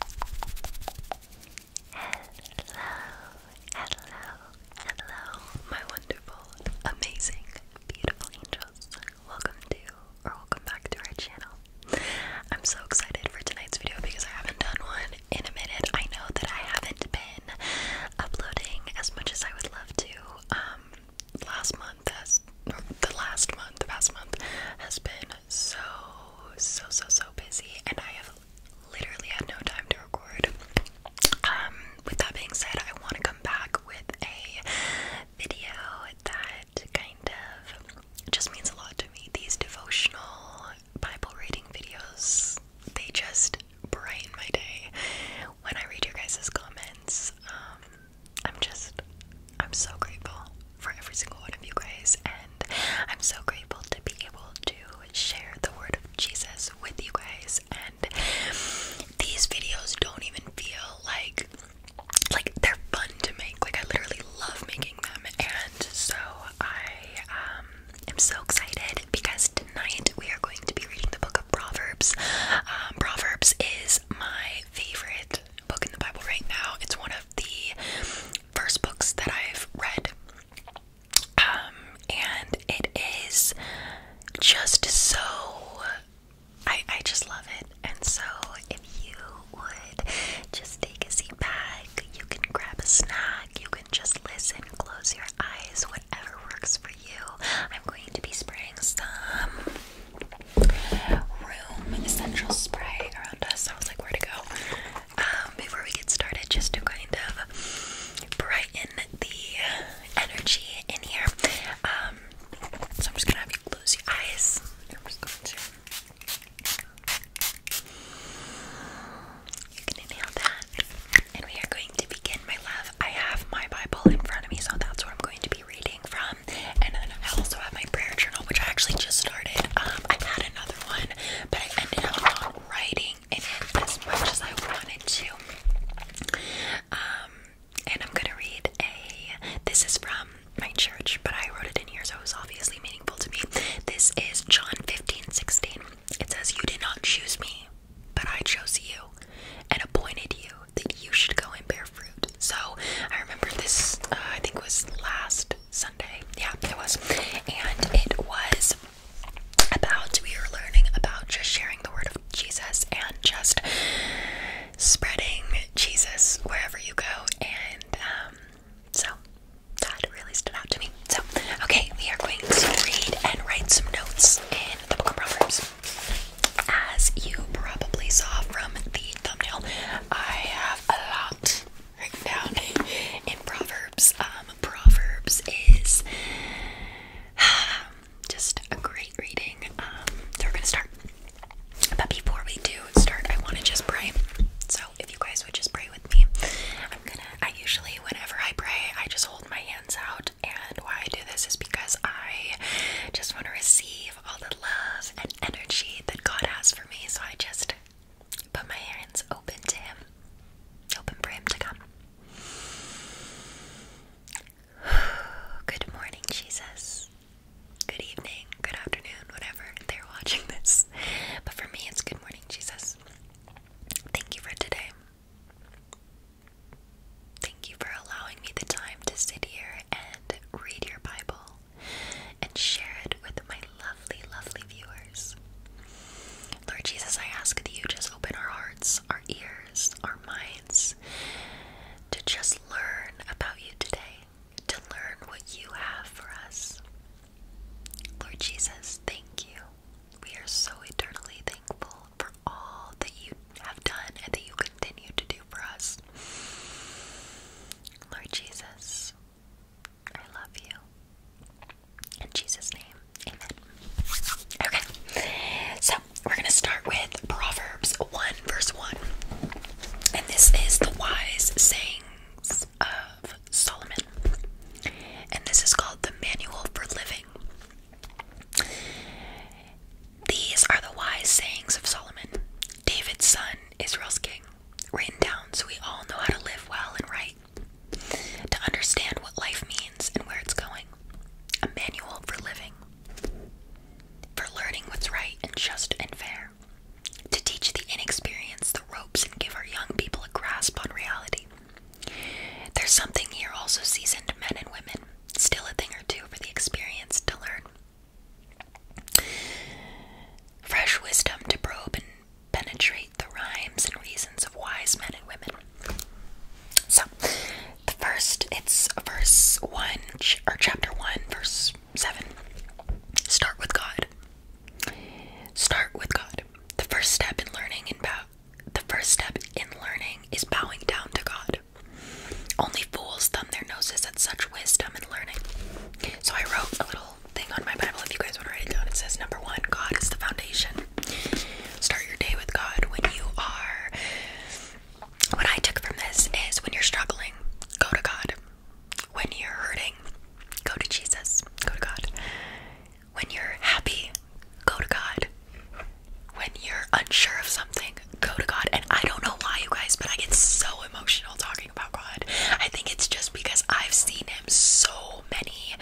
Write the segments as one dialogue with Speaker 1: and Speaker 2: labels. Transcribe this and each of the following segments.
Speaker 1: hello, hello, my wonderful, amazing, beautiful angels. Welcome to, or welcome back to our channel. I'm so excited for tonight's video because I haven't done one in a minute. I know that I haven't been uploading as much as I would love to. Um, last month the last month, the past month has been so, so, so, so busy, and I have literally had no time to record. Um, with that being said, I want to come back with a video that kind of just means a lot to me. These devotional Bible reading videos, they just brighten my day. When I read your guys' comments, um, I'm just, I'm so grateful for every single one of you guys, and I'm so grateful to be able to share the word of Jesus with you guys. And these videos don't even feel like like they're fun to make. Like I literally love making them, and so I um, am so excited because tonight we are going to be reading the book of Proverbs. Um, Proverbs is my favorite book in the Bible right now. It's one of the first books that I've read. Um, and it is just so I I just love it. And so if you would just take a seat back, you can grab a snack, you can just listen, close your eyes, whatever works for you. I'm going to be spraying some essential spray around us, I was like, where to go? Um, before we get started, just to kind of brighten the energy in here, um, so I'm just gonna have you close your eyes. You can inhale that, and we are going to begin, my love. I have my Bible in front of me, so that's what I'm going to be reading from and then I also have my prayer journal, which I actually just started. Um, i had another one, but I ended up not writing in it as much as I wanted to. Um, and I'm gonna read a. This is from my church, but I wrote it in here, so it was obviously meaningful to me. This is John 15 16. It says, You did not choose me, but I chose you and appointed you that you should go and bear so I remember this, uh, I think it was last Sunday. Yeah, it was. And it was about, we were learning about just sharing the word of Jesus and just spreading Jesus wherever you go. And um, so that really stood out to me. So, okay, we are going to read and write some notes in the book of Proverbs. As you probably saw from the thumbnail, I have a lot written down in Proverbs. Um, Proverbs is just a great reading. Um, so we're gonna start. But before we do start, I want to just pray. So if you guys would just pray with me, I'm gonna. I usually, whenever I pray, I just hold my hands out, and why I do this is because I just want to receive all the love and energy that God has for me, so I just put my hands open to Him, open for Him to come. Good morning, Jesus. Good evening, good afternoon, whatever they're watching this. But for me, it's good morning, Jesus. Thank you for today. Thank you for allowing me the time to sit here and read your Bible and share it with my lovely, lovely viewers. Lord Jesus, I ask that you just open our hearts, our ears, our minds to just learn about you today, to learn what you have for us. Lord Jesus, thank you. We are so eternally thankful for all that you have done and that you continue to do for us. Lord Jesus, I love you. In Jesus' name, amen. Okay, so we're going to start with Proverbs 1, verse 1. And this is the wise sayings of Solomon. And this is called the Manual for Living. These are the wise sayings of Solomon, David's son, Israel's king, written down so we all know how to live well and right, to understand what life means and where it's going. A manual for living, for learning what's right and just and fair, to teach the inexperienced the ropes and give our young people a grasp on reality. There's something here also seasoned men and women, still a thing or two for the experienced to learn. Fresh wisdom to probe and penetrate the rhymes and reasons of wise men and women. So, the first, it's verse 1, or chapter 1, verse 7. Start with God. Start with God. The first step in learning and bow, the first step in learning is bowing down to God. Only fools thumb their noses at such wisdom and learning. So I wrote a little thing on my Bible if you guys want to write it down. It says, Number one, God is the foundation. Start your day with God when you are. What I took from this is when you're struggling, go to God. When you're hurting, go to Jesus. Go to God. When you're happy, go to God. When you're unsure of something, go to God. And I don't know why, you guys, but I get so emotional talking about God. I think it's just because I've seen Him so many,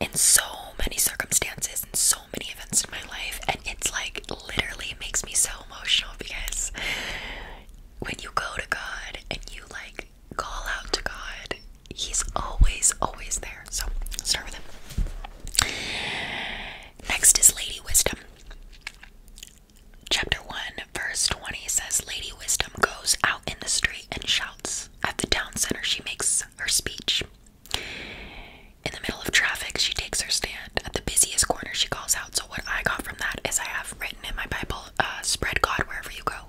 Speaker 1: in so many circumstances, and so many events in my life. And it's like literally makes me so emotional because when you go to God and you like call out to God, He's always, always there. So start with Him. Next is Lady Wisdom. Chapter 1, verse 20 says, Lady Wisdom goes out in the street and shouts. At the town center, she makes her speech. In the middle of traffic, she takes her stand. At the busiest corner, she calls out. So, what I got from that is I have written in my Bible, uh, spread God wherever you go.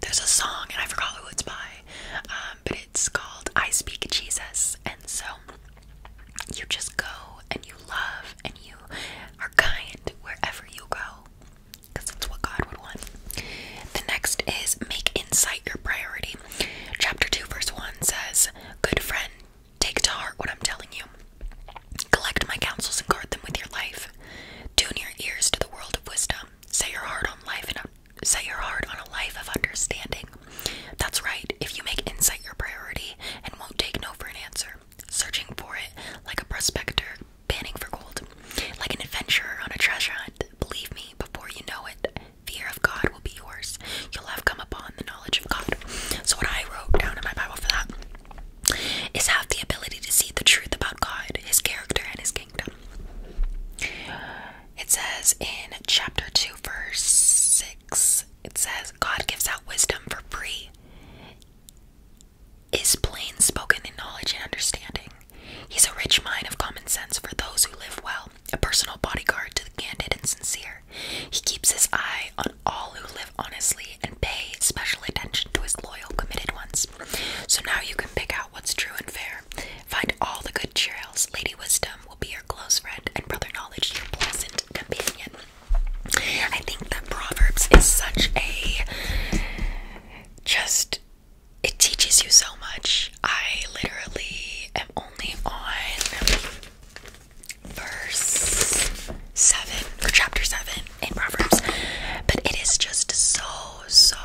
Speaker 1: There's a song, and I forgot who it's by, um, but it's called I Speak Jesus. And so, you just go and you love and you are kind wherever you go because that's what God would want. The next is make insight your priority. Chapter 2, verse 1 says, Good friend, take to heart what I'm telling you. Collect my counsels and guard them with your life. Tune your ears to the world of wisdom. Set your heart on life and set your heart on a life of understanding. That's right, if you make insight your priority and won't take no for an answer, searching for it like a prospector panning for gold, like an adventurer on a treasure hunt, believe me, before you know it, fear of God will be yours. You'll have come upon the knowledge of God. So, what I wrote down in my Bible for that is have the ability to see the truth about God, His character, and His kingdom. It says in chapter 2, verse six it says, God gives out wisdom for free, is plain spoken in knowledge and understanding. He's a rich mine of common sense for those who live well, a personal bodyguard to the candid and sincere. He keeps his eye on all who live honestly and pay special attention to his loyal, committed ones. So now you can pick out what's true and fair. Find all the good trails. Lady Wisdom will be your close friend, and Brother Knowledge your pleasant companion. I think that Proverbs is such a just it teaches you so much. I literally am only on verse 7 or chapter 7 in Proverbs, but it is just so so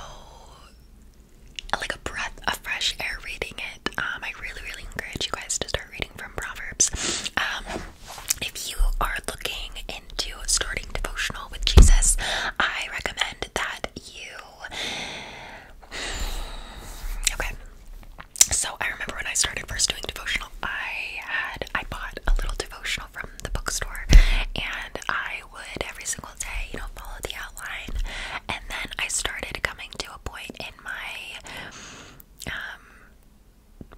Speaker 1: like a breath of fresh air reading it. Um, I really, really encourage you guys to start reading from Proverbs. Um, if you are looking into starting devotional with Jesus, I recommend that you. Okay. So I remember when I started first doing devotional, I had I bought a little devotional from the bookstore, and I would every single day, you know, follow the outline, and then I started coming to a point in my um,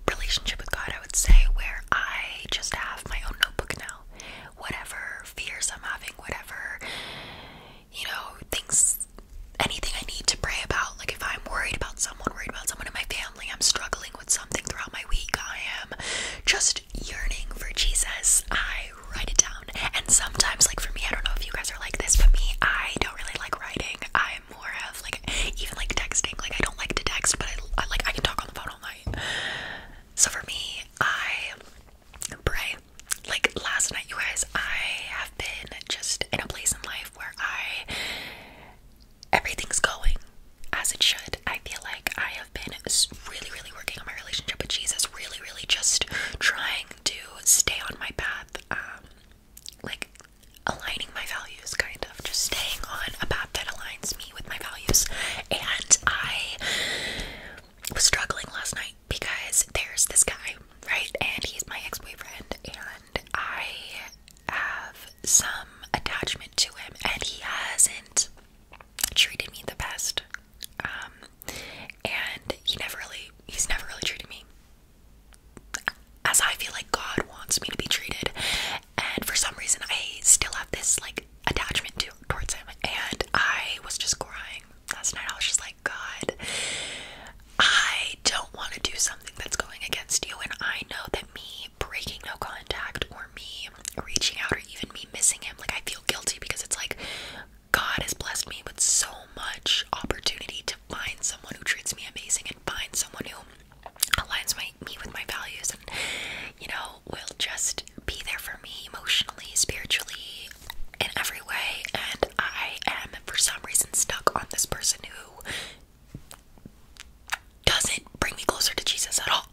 Speaker 1: relationship with God, I would say, where I just have my own notebook now. Whatever fears I'm having, whatever, you know, things, anything I need to pray about. Like if I'm worried about someone, worried about someone in my family, I'm struggling with something throughout my week, I am just yearning for Jesus. I write it down. And sometimes, like for me, I don't know if you guys are like this, but me, I don't don't really like writing. I'm more of like even like texting. Like I don't like to text, but I, I like I can talk on the phone all night. So for me, I pray. Like last night, you guys, I have been just in a place in life where I everything's going as it should. I feel like I have been really, really working on my relationship with Jesus. Really, really just trying to stay on my path. Um, like aligning my values kind of just staying on a path that aligns me with my values and I was struggling last night because there's this guy right and he's my ex-boyfriend and I have some attachment to him and he hasn't treated me the best um and he never really he's never really treated me as I feel like God wants me to be treated. And for some reason, I still have this like attachment to towards him. And I was just crying last night. I was just like, God, I don't want to do something that's going against you. And I know that me breaking no contact or me reaching out or even me missing him, like I feel guilty because it's like God has blessed me with so much opportunity to find someone who treats me amazing and find someone who aligns my, me with my values and, you know, will just be there for me emotionally, spiritually, in every way. And I am, for some reason, stuck on this person who doesn't bring me closer to Jesus at all.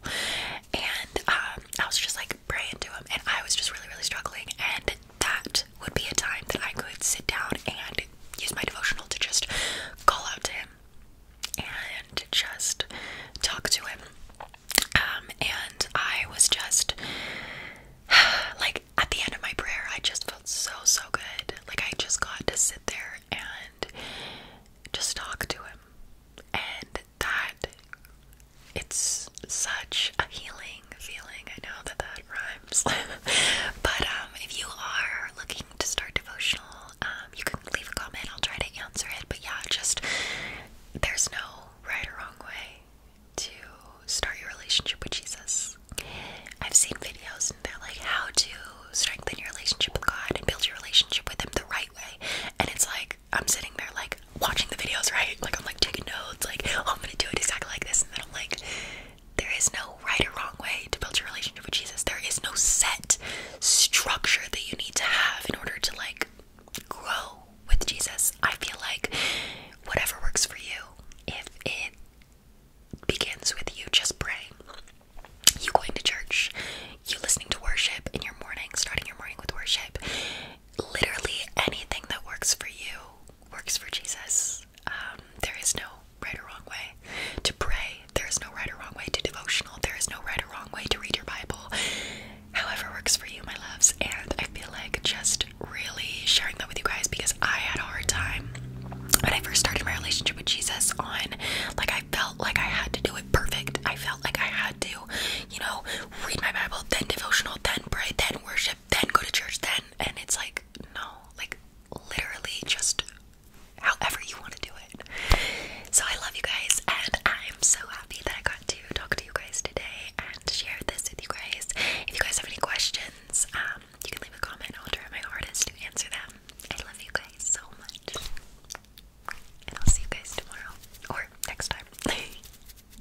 Speaker 1: And um, I was just like praying to him, and I was just really, really struggling. And that would be a time that I could sit down and use my devotional to just call out to him and just talk to him. Um, and I was just like at the end of my prayer, I just felt so so good. Like I just got to sit there and just talk to him, and that it's such a healing feeling. I know that that rhymes. but um, if you are looking to start devotional, um, you can leave a comment. I'll try to answer it. But yeah, just there's no right or wrong way to start your relationship with Jesus. I've seen videos and they're like how to strengthen your relationship with God and build your relationship with Him the right way. And it's like, I'm sitting there like, watching the videos, right? Like I'm like taking notes, like oh, I'm gonna do it exactly like this, and then I'm like, there is no right or wrong way to build your relationship with Jesus. There is no set structure that you need to have in order to like grow with Jesus. I feel like whatever works for you, if it begins with you just praying, you going to church, you listening to worship in your morning, starting your morning with worship, literally anything that works for you works for Jesus. Um, there is no right or wrong way to pray. There is no right or wrong way to devotional. There is no right or wrong way to read your Bible. However works for you, my loves. And I feel like just really sharing that with you guys because I had a hard time when I first started my relationship with Jesus on like I felt like I had to do it perfect. I felt like I had to, you know, read my Bible, then devotional, then pray, then worship then go to church, then. And it's like, no, like literally just however you want to do it. So I love you guys, and I'm so happy that I got to talk to you guys today and share this with you guys. If you guys have any questions, um, you can leave a comment. I'll try my hardest to answer them. I love you guys so much. And I'll see you guys tomorrow or next time.